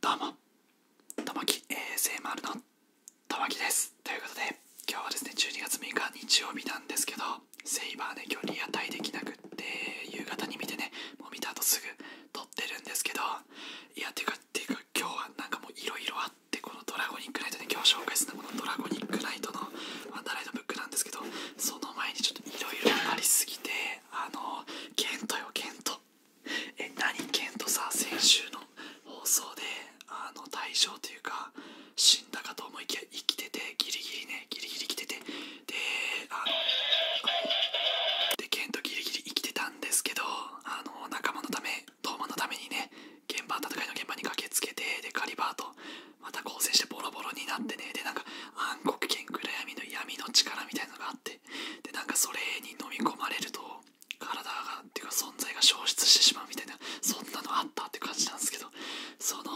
どうもともき a s m のともきですということで今日はですね12月6日日曜日なんですけどセイバーね今日リアタイできなくって夕方に見てねもう見た後すぐ撮ってるんですけどいやてかてか今日はなんかもういろいろあってこのドラゴニックナイトね今日紹介するのはこのドラゴニックナイトのアンダーライトブックなんですけどその前にちょっといろいろありすぎてあのケントよケントえ何ケントさ先週の放送であの大賞というかだかと思いきや生きててギリギリねギリギリ生きててであのでケントギリギリ生きてたんですけどあの仲間のためトーマのためにね現場戦いの現場に駆けつけてでカリバーとまた交戦してボロボロになってねでなんか暗黒剣暗闇の闇の力みたいなのがあってでなんかそれに飲み込まれると体がっていうか存在が消失してしまうみたいなそんなのあったって感じなんですけどその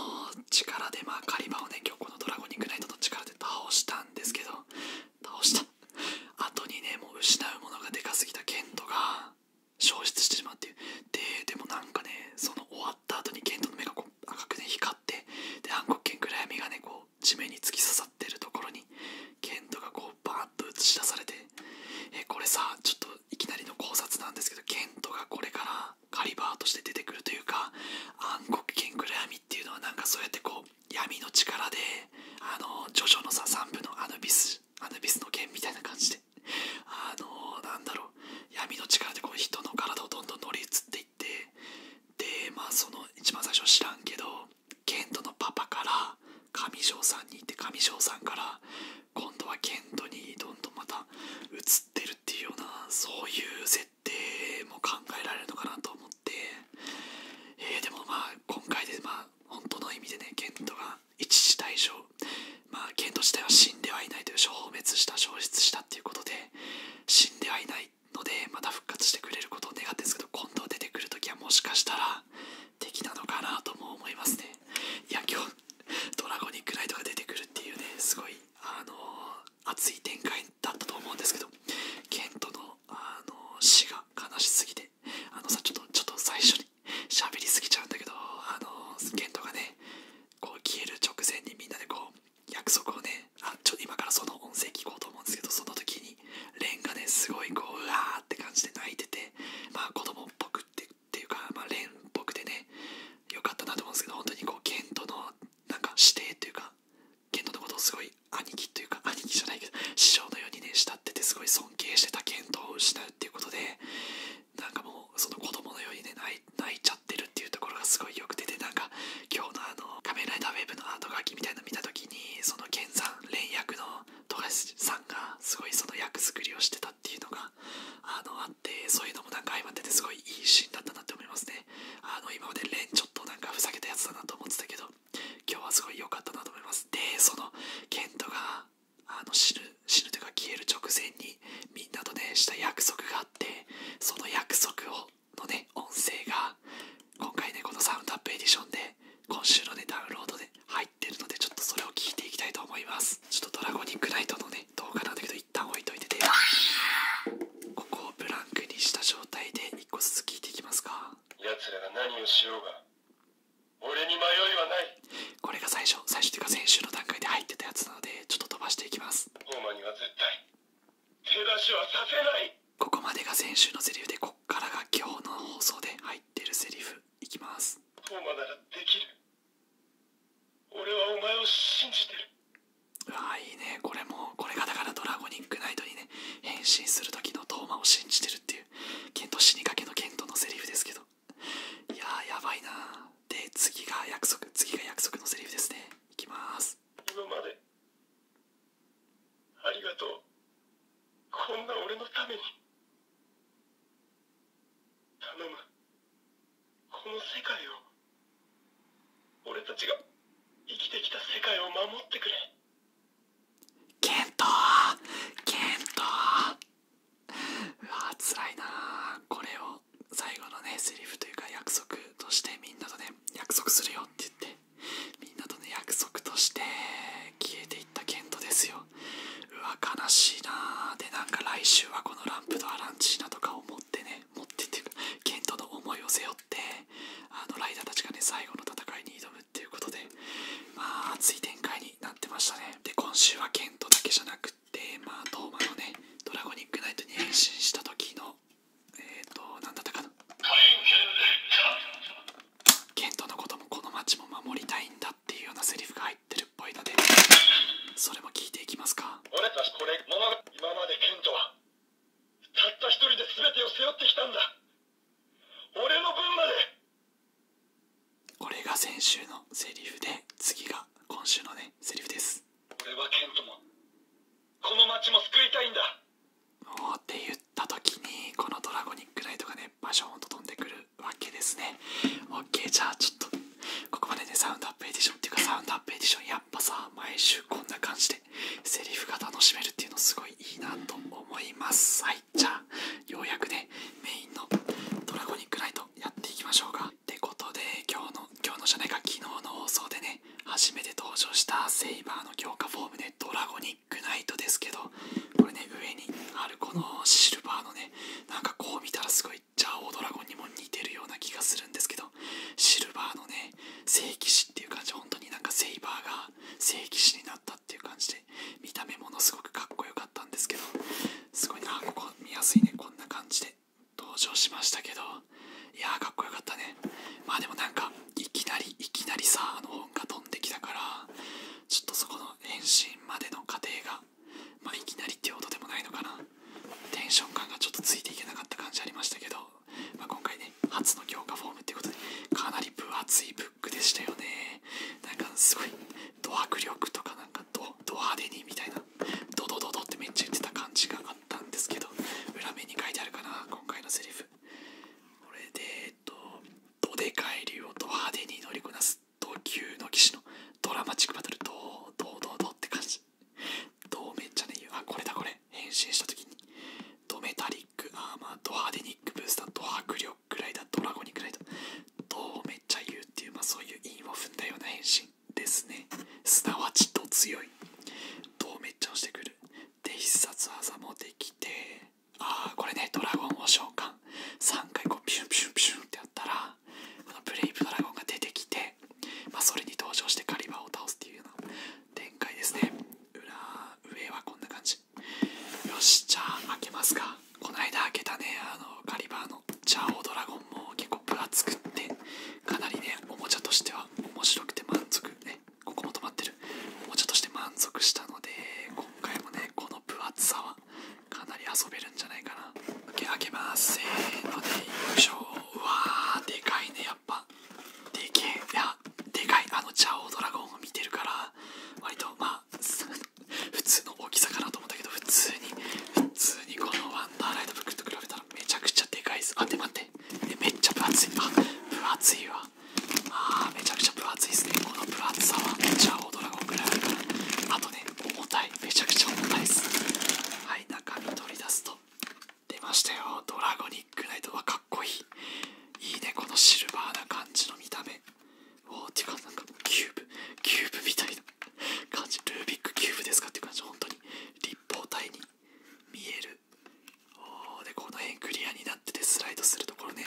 力でまあ狩場をね今日このドラゴニックナイトの力で倒したんですけど倒した後にねもう失うものがでかすぎたケントが消失してしまってででもなんかねその終わった後にケントの目がこう赤くね光ってで暗黒剣暗闇がねこう地面に突き刺さってるところにケントがこうバーッと映し出されてえこれさちょっといきなりの考察なんですけどケントがこれからカリバーとして出てくるというか暗黒剣暗闇っていうのはなんかそうやってこう闇の力であの徐々ジョのさ3部のアヌビスアヌビスの剣みたいな感じであのなんだろう闇の力でこう人の体をどんどん乗り移っていってでまあその一番最初知らんけどケントのパパから上條さんに行って上條さんから今度はケントにどんどんまた移ってるっていうようなそういう設定も考えられるのかなと思って、えでもまあ今回でまあ本当の意味でねケントが一時退場まあケント自体は死んではいないという消滅した消失したっていうことで死んではいないのでまた復活してくれることを願ってですけど今度出てくる時はもしかしたら敵なのかなとも思いますね ドラゴニックライトが出てくるっていうねすごいあの熱い展開だったと思うんですけどケントの、あのー、が悲しすぎてあのさちょっとちょっと最初に喋りすぎちゃうんだけどあのケントがねこう消える直前にみんなでこう約束をねあちょ今からその音声聞こうと思うんですけどその時にレンがねすごいこううわーって感じで泣いててまあ子供っぽくってっていうか、まあ、蓮っぽくてねよかったなと思うんですけど本当にこうケントのなんか師弟っていうかケントのことをすごい兄貴っていうか兄貴じゃないけど師匠のようにね慕っててすごい尊敬してたケントを失うっていうことでなんかもうその子供のようにね泣いちゃってるっていうところがすごいよくてなんか今日のあの「仮面ライダーウェブ」のアート書きみたいなの見た時にそのケンさん蓮役の富樫さんがすごいその役作りをしてたっていうのがあのあってそういうのもなんか相まっててすごいいいシーンだったなって思いますねあの今までレンちょっとなんかふざけたやつだなと思ってたけど今日はすごい良かったなと思いますでそのケントがあの死ぬ死ぬというか消える直前にみんなとねした約束があってその約束をのね音声が今回ねこのサウンドアップエディションで今週のねダウンロードで入ってるのでちょっとそれを聞いていきたいと思いますちょっとドラゴニックナイトのね動画だけど一旦置いといててここをブランクにした状態で一個ずつ聞いていきますか奴らが何をしようが俺に迷いはないこれが最初最初っていうか先週の段階で入ってたやつなのでちょっと飛ばしていきますホーマには絶対手出しはさせないここまでが先週のセリフでこっからが今日の放送で入ってるセリフいきますホーマならできる俺はお前を信じてるああいいねこれもこれがだからドラゴニックナイトにね変身する時のトーマを信じてるっていうケント死にかけのケントのセリフですけどいややばいなで次が約束次が約束のセリフですねいきます今までありがとうこんな俺のために頼むこの世界を俺たちが生きてきた世界を守ってくれケントケントうわつらいなこれを最後のねセリフというか約束としてみんなとね約束するよって言ってみんなとね約束として消えていったケントですようわ悲しいなでなんか来週はこのランプとアランチーナとかを持ってね持ってっていうかケントの思いを背負ってあのライダーたちがね最後の戦いに挑むっていうことでまあ熱い展開になってましたねで今週はケントだけじゃなくってまあトーマのねドラゴニックナイトに変身した時のえっ、ー、と何だったかなケントのこともこの街も守りたいんだっていうようなセリフが入って。てるっぽいのでそれも聞いていきますか俺たちこれ今までケントはたった一人で全てを背負ってきたんだ俺の分までこれが先週のセリフで次が今週のねセリフです俺はケントもこの街も救いたいんだもうって言った時にこのドラゴニックライトがねバションをとどんでくるわけですね。OK、じゃあちょっと、ここまでね、サウンドアップエディションっていうか、サウンドアップエディション、やっぱさ、毎週こんな感じで、セリフが楽しめるっていうのすごいいいなと思います。はい、じゃあ、ようやくね、メインのドラゴニックナイトやっていきましょうか。ってことで、今日の、今日のじゃないか、昨日の放送でね、初めて登場したセイバーの強化フォームで、ドラゴニックナイトですけど、これね、上にあるこのシルバーのね、なんかこう見たらすごいジャオドラゴンにも似てるような気がするんですけどシルバーのね聖騎士っていう感じ本当になんかセイバーが聖騎士になったっていう感じで見た目ものすごくかっこよかったんですけどすごいなここ見やすいねこんな感じで登場しましたけどいやーかっこよかったねまあでもなんかいきなりいきなりさあの本が飛んできたからちょっとそこの変身までの過程が、まあ、いきなりっていうほでもないのかなテンション感がちょっとついていけなかった感じありましたけど、まあ、今回ね初の強化フォームっていうことでかなり分厚いブックでしたよねなんかすごいド迫力とかなんかド派手にみたいなドドドドってめっちゃ言ってた感じがあったんですけど裏面に書いてあるかな今回のセリフこれでえっと「どでかい竜をド派手に乗りこなすで同級の騎士のドラマチックバトルどうどうどうどうって感じどうめっちゃね言うあこれだこれ変身した時にドメタリックアーマードハデニックブースタード迫力くらいだドラゴニックライドどめっちゃ言うっていうまあそういう韻を踏んだような変身ですねすなわちと強いどうめっちゃ押してくるで必殺技もできてああこれねドラゴンを召喚3回こうピュンピュンピュンってやったらこのブレイブドラゴンが出てきて、まそれに登場してカリバーを倒すっていうような展開ですね裏上はこんな感じよしじゃあ開けますかこの間開けたねあのカリバーのチャオドラゴンも結構分厚くってかなりねおもちゃとしては面白くて満足ねここも止まってるおもちゃとして満足したので今回もねこの分厚さはかなり遊べるんじゃないかな開け開けますせーのでよいしょうわーでかいねやっぱでけえいやでかいあのジャオドラゴンを見てるから割とまあ 普通の大きさかなと思ったけど普通に普通にこのワンダーライトブックと比べたらめちゃくちゃでかいですあで待ってえめっちゃ分厚いあ分厚いわはあめちゃくちゃ分厚いですねこの分厚さはちゃあドラゴンぐらいあるからあとね重たいめちゃくちゃ重たいですはい中身取り出すと出ましたよドラゴニックナイトはかっこいいいいねこのシルバーな感じの見た目おおってうかなんかキューブキューブみたいな感じルービックキューブですかって感じ本当に立方体に見えるおーでこの辺クリアになっててスライドするところね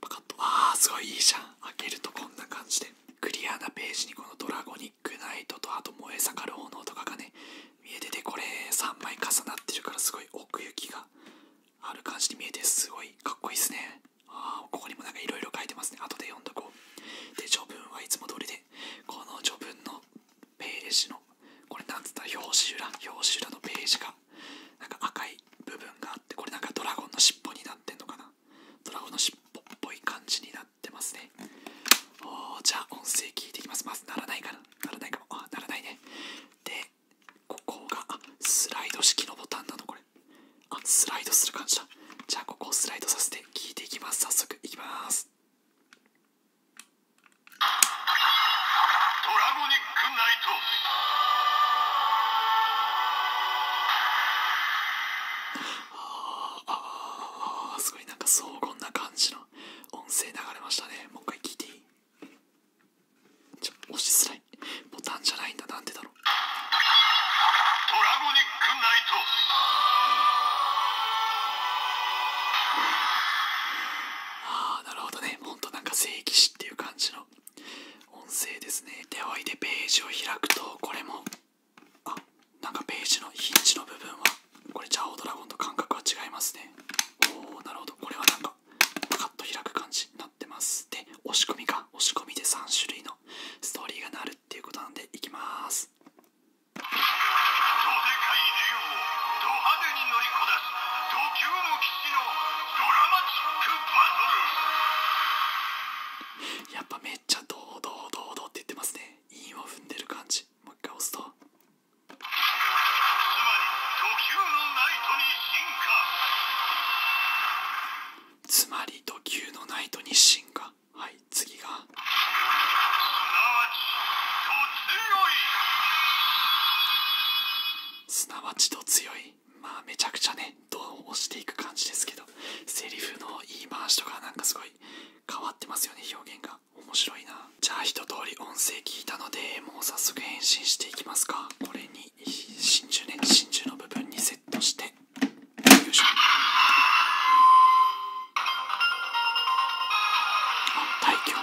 パカッとああすごいいいじゃん開けるとこんな感じでクリアなページにこのドラゴニックナイトとあと燃え盛る炎とかがね見えててこれ3枚重なってるからすごい奥行きがある感じに見えてすごいかっこいいですねああここにもなんか色々書いてますね後で読んどこうで序文はいつも通りでこの序文のページのこれなんつった表紙裏表紙裏のページがなんか赤い部分があってこれなんかドラゴンの尻尾になってんのかなドラゴンの尻尾っぽい感じになってますねおーじゃあ音声聞いていきますまずならないかなならないかもあならないねでここがスライド式のボタンなのこれあスライドする感じだじゃあここをスライドさせて聞いていきます早速いきますドラゴニああすごいなんか荘厳な感じの音声流れましたねもう一回聞いていいちょ押しづらいボタンじゃないんだなんでだろうああなるほどねほんとなんか聖騎士っていう感じの音声ですねでおいでページを開くとこれもあなんかページのヒンチの部分はこれジャオドラゴンと感覚は違いますねおおなるほどこれはなんかカッと開く感じになってますで押し込みか押し込みで3種類のストーリーがなるっていうことなんでいきますののドラマチックバトル」やっぱめっちゃ堂々堂々って言ってますね韻を踏んでる感じもう一回押すとつまり「時球のナイトに進化」つまり「時球のナイトに進化」はい次が「すなわちすなわちと強いまあめちゃくちゃねドどう押していく感じですけどセリフの言い回しとかなんかすごい変わってますよね表現が面白いなじゃあ一通り音声聞いたのでもう早速変身していきますかこれに真珠ね真珠の部分にセットしてよいしょあ大気を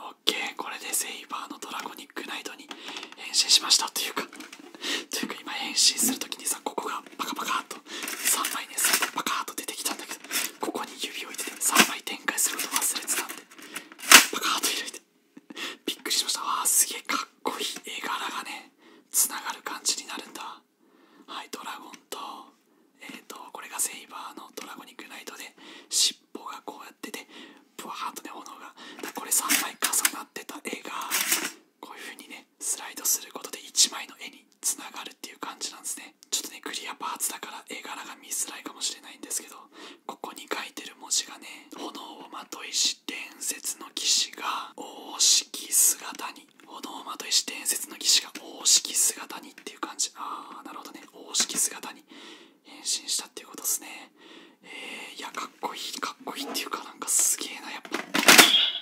オッケーこれでセイバーのドラゴニックナイトに変身しましたというか というか今変身する時にさここがパカパカっと3枚ねパカっと出てきたんだけどここに指を置いてて3枚展開すること忘れてたんでパカッと開いてびっくりしましたわすげえかっこいい絵柄がねつがる感じになるんだはいドラゴンとえっ、とこれがセイバーのドラゴニックナイトで尻尾がこうやっててプワーッとね炎がこれ3枚重なってた絵がこういう風にねスライドすることで1枚の絵につながるっていう感じなんですねちょっとねクリアパーツだから絵柄が見づらいかもしれないんですけどここに書いてる文字がね炎をまといし伝説の騎士が大式姿に炎魔と石伝説の騎士が大式姿にっていう感じああなるほどね大式姿に変身したっていうことっすねえー、いやかっこいいかっこいいっていうかなんかすげえなやっぱ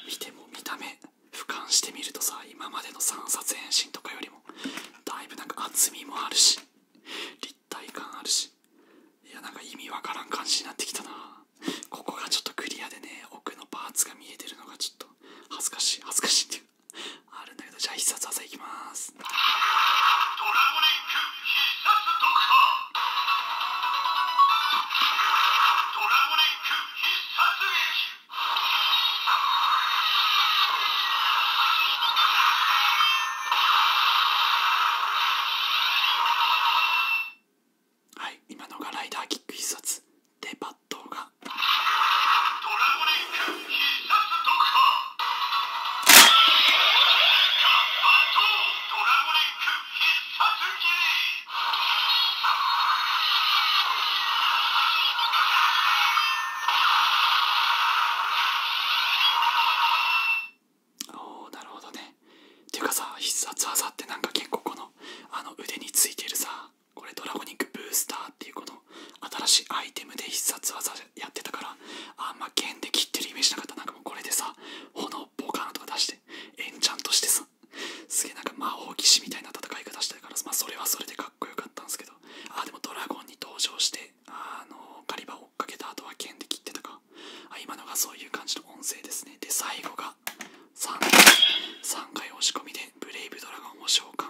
見ても見た目俯瞰してみるとさ今までの3冊変身とかよりもだいぶなんか厚みもあるし立体感あるしいやなんか意味わからん感じになってきたなここがちょっとクリアでね奥のパーツが見えてるのがちょっと恥ずかしい恥ずかしいっていうあるんだけどじゃあ必殺技いきますドラゴニック必殺読破ドラゴニック必殺劇はい今のがライダーキック必殺でバットがドラゴネック必殺ドクターバットドラゴネック必殺切りおーなるほどねていうかさ必殺技ってなんか結構このあの腕についてるさこれドラゴニックブースターっていうこの新しいアイテムで必殺技やってたからあんま剣で切ってるイメージなかったなんかもうこれでさ炎ボカーンとか出してエンチャンとしてさすげえなんか魔法騎士みたいな戦い方してたからまそれはそれでかっこよかったんですけどあでもドラゴンに登場してあのカリバーかけた後は剣で切ってとかあ今のがそういう感じの音声ですねで最後が 3, 3回押し込みでブレイブドラゴンを召喚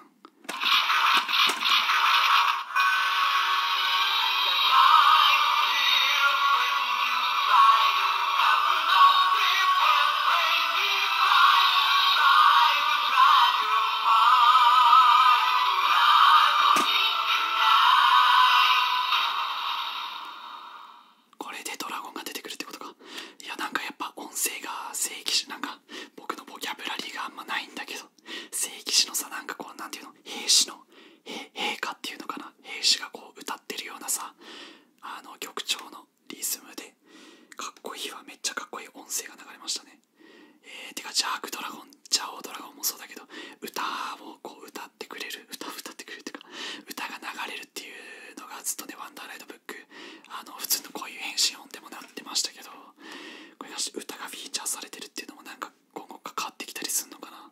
これでドラゴンが出てくるってことかいやなんかやっぱ音声が聖騎士なんか僕のボキャブラリーがあんまないんだけど聖騎士のさなんかこうなんていうの兵士の陛下っていうのかな兵士がこう歌ってるようなさあの曲調のリズムでかっこいいわめっちゃかっこいい音声が流れましたねえてかジャークドラゴンジャオドラゴンもそうだけど歌をこう歌って。ってくれる歌を歌ってくれる歌が流れるっていうのがずっとね「ワンダーライドブック」あの普通のこういう変身音でもなってましたけどこれが歌がフィーチャーされてるっていうのもなんか今後かかってきたりするのかな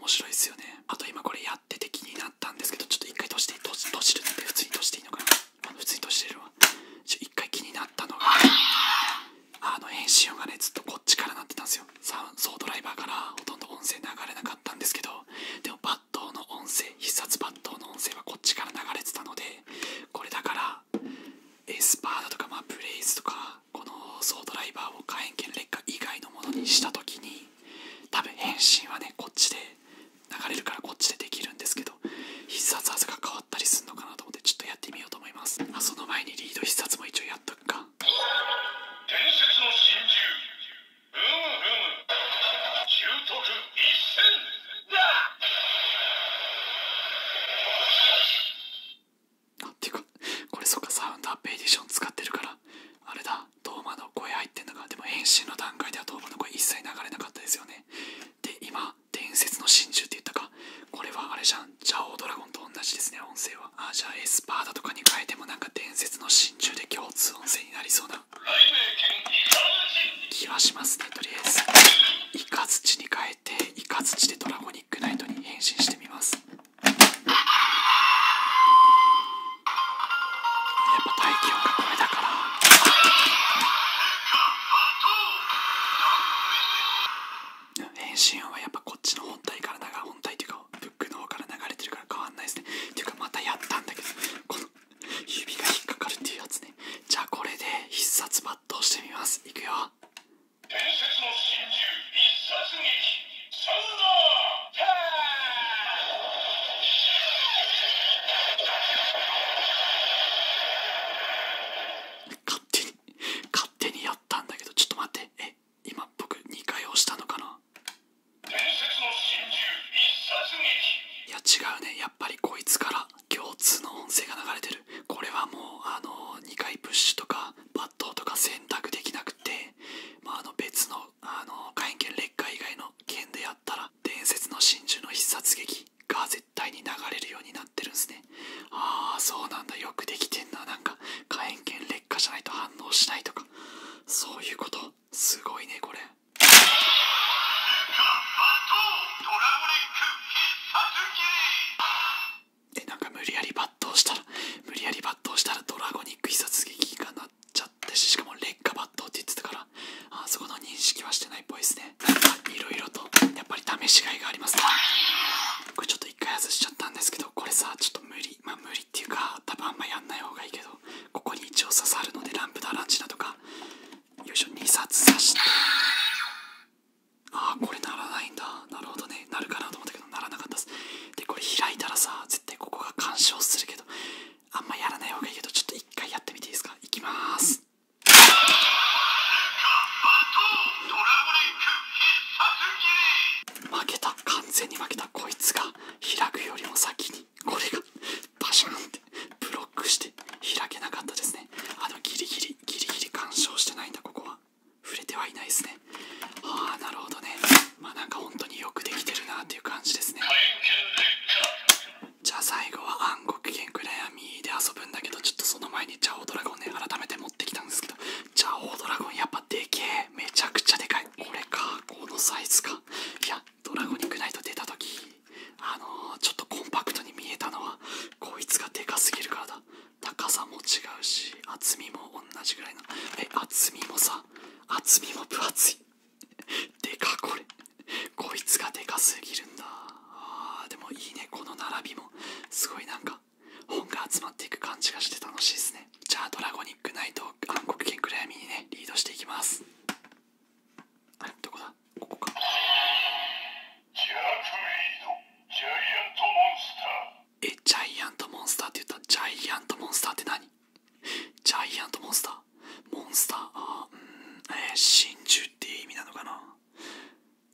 面白いですよねあと今これやってて気になったんですけどちょっと一回閉じて閉じるって普通に閉じていいのかな普通に閉じてるわ一回気になったのがあの編集音がねずっとこっちからなってたんですよサソードライバーからほとんど音声流れなかったんですけどでも抜刀の音声必殺抜刀の音声はこっちから流れてたのでこれだからエスパーだとか、まブレイズとかこのソードライバーを火炎剣劣化以外のものにした時に多分変身はねこっちで流れるからこっちでできるんですけど必殺技が変わったりするのかなと思ってちょっとやってみようと思いますあその前にリード必殺も一応やっとくかなんていうかこれそっかサウンドアップエディション使ってるからあれだトーマの声入ってんだかでも変身の段階ではトーマの声一切流れなかったですよねで今伝説の真珠って言ったかかこれはあれじゃんジャオードラゴンと同じですね音声はあじゃあエスパーだとかに変えてもなんか伝説の真珠で共通音声になりそうな気はしますねとりあえずイカ土に変えてイカ土でドラゴニックナイトに変身してみますやっぱ大気温がこれだから返信はやっぱこっちの本体から流本体っていうかブックの方から流れてるから変わんないですねっていうかまたやったんだけどこの指が引っかかるっていうやつねじゃあこれで必殺抜刀してみますいくよ伝説の真珠必殺劇サウナー勝手に勝手にやったんだけどちょっと待ってえ今僕2回押したのかな一いや違うねやっぱりこいつから共通の音声が流れてるこれはもうあの2回プッシュとか抜刀とか選択できなくて、まあ、の別のあの火炎剣劣化以外の剣でやったら伝説の真珠の必殺劇が絶対に流れるようになっ。ああそうなんだよくできてんななんか火炎剣劣化じゃないと反応しないとかそういうことすごいねこれえなんか無理やり抜刀したら無理やり抜刀したらドラゴニック必殺撃がなっちゃってしかも劣化抜刀って言ってたからあそこの認識はしてないっぽいですねいろいろとやっぱり試しがいがありますね1回外しちゃったんですけどこれさちょっと無理まあ無理っていうか多分あんまやんない方がいいけどここに一応刺さるのでランプだランチだとかよいしょ2冊刺してああこれならないんだなるほどねなるかなと思ったけどならなかったですでこれ開いたらさ絶対ここが干渉するけどあんまやらない方がいいけどちょっと1回やってみていいですかいきます、負けた完全に負けたこいつが開くよりも先にこれがバシャンってブロックして開けなかったですねあのギリギリギリギリ干渉してないんだここは触れてはいないですねああなるほどねまあなんか本当によくできてるなっていう感じですねじゃあ最後は暗黒剣暗闇で遊ぶんだけどちょっとその前にジャオドラゴンね改めて持ってきたんですけどジャオードラゴンやっぱでけえめちゃくちゃでかいこれかこのサイズかいやドラゴニックナイト出た時あのちょっとコンパクトに見えたのはこいつがでかすぎるからだ高さも違うし厚みも同じぐらいのえ厚みもさ厚みも分厚いでかこれこいつがでかすぎるんだあーでもいいねこの並びもすごいなんか本が集まっていく感じがして楽しいですねじゃあドラゴニックナイト暗黒剣暗闇にねリードしていきますあれどこだここかえジャイアントモンスターって言ったジャイアントモンスターって何ジャイアントモンスターモンスターあーうんえ真珠って意味なのかな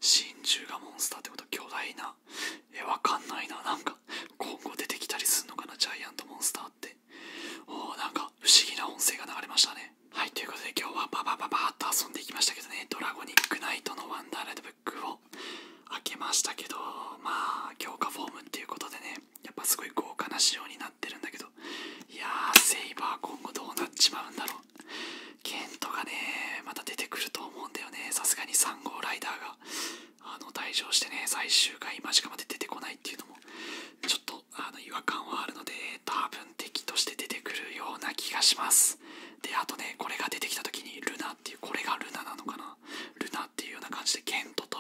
真珠がモンスターってこと巨大なえわかんないななんか今後出てきたりすんのかなジャイアントモンスターっておーなんか不思議な音声が流れましたねはいということで今日はババババーと遊んでいきましたけどねドラゴニックナイトのワンダーライトブックを開けましたけどまあ強化フォームっていうことでねやっぱすごい豪華な仕様になってるんだけどいやーセイバー今後どうなっちまうんだろうケントがね、また出てくると思うんだよね。さすがに3号ライダーが、あの、退場してね、最終回間近まで出てこないっていうのも、ちょっと、あの、違和感はあるので、多分敵として出てくるような気がします。で、あとね、これが出てきた時に、ルナっていう、これがルナなのかなルナっていうような感じで、ケントと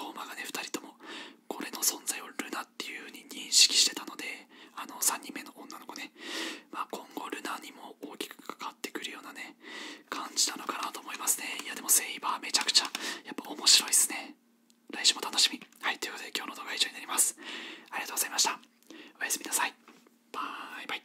ローマがね、2人とも、これの存在をルナっていう風に認識してたので、あの、3人目の女の子ね、ま今後ルナにも大きくかかってくるようなね感じなのかなと思いますねいやでもセイバーめちゃくちゃやっぱ面白いですね来週も楽しみはいということで今日の動画は以上になりますありがとうございましたおやすみなさいバイバイ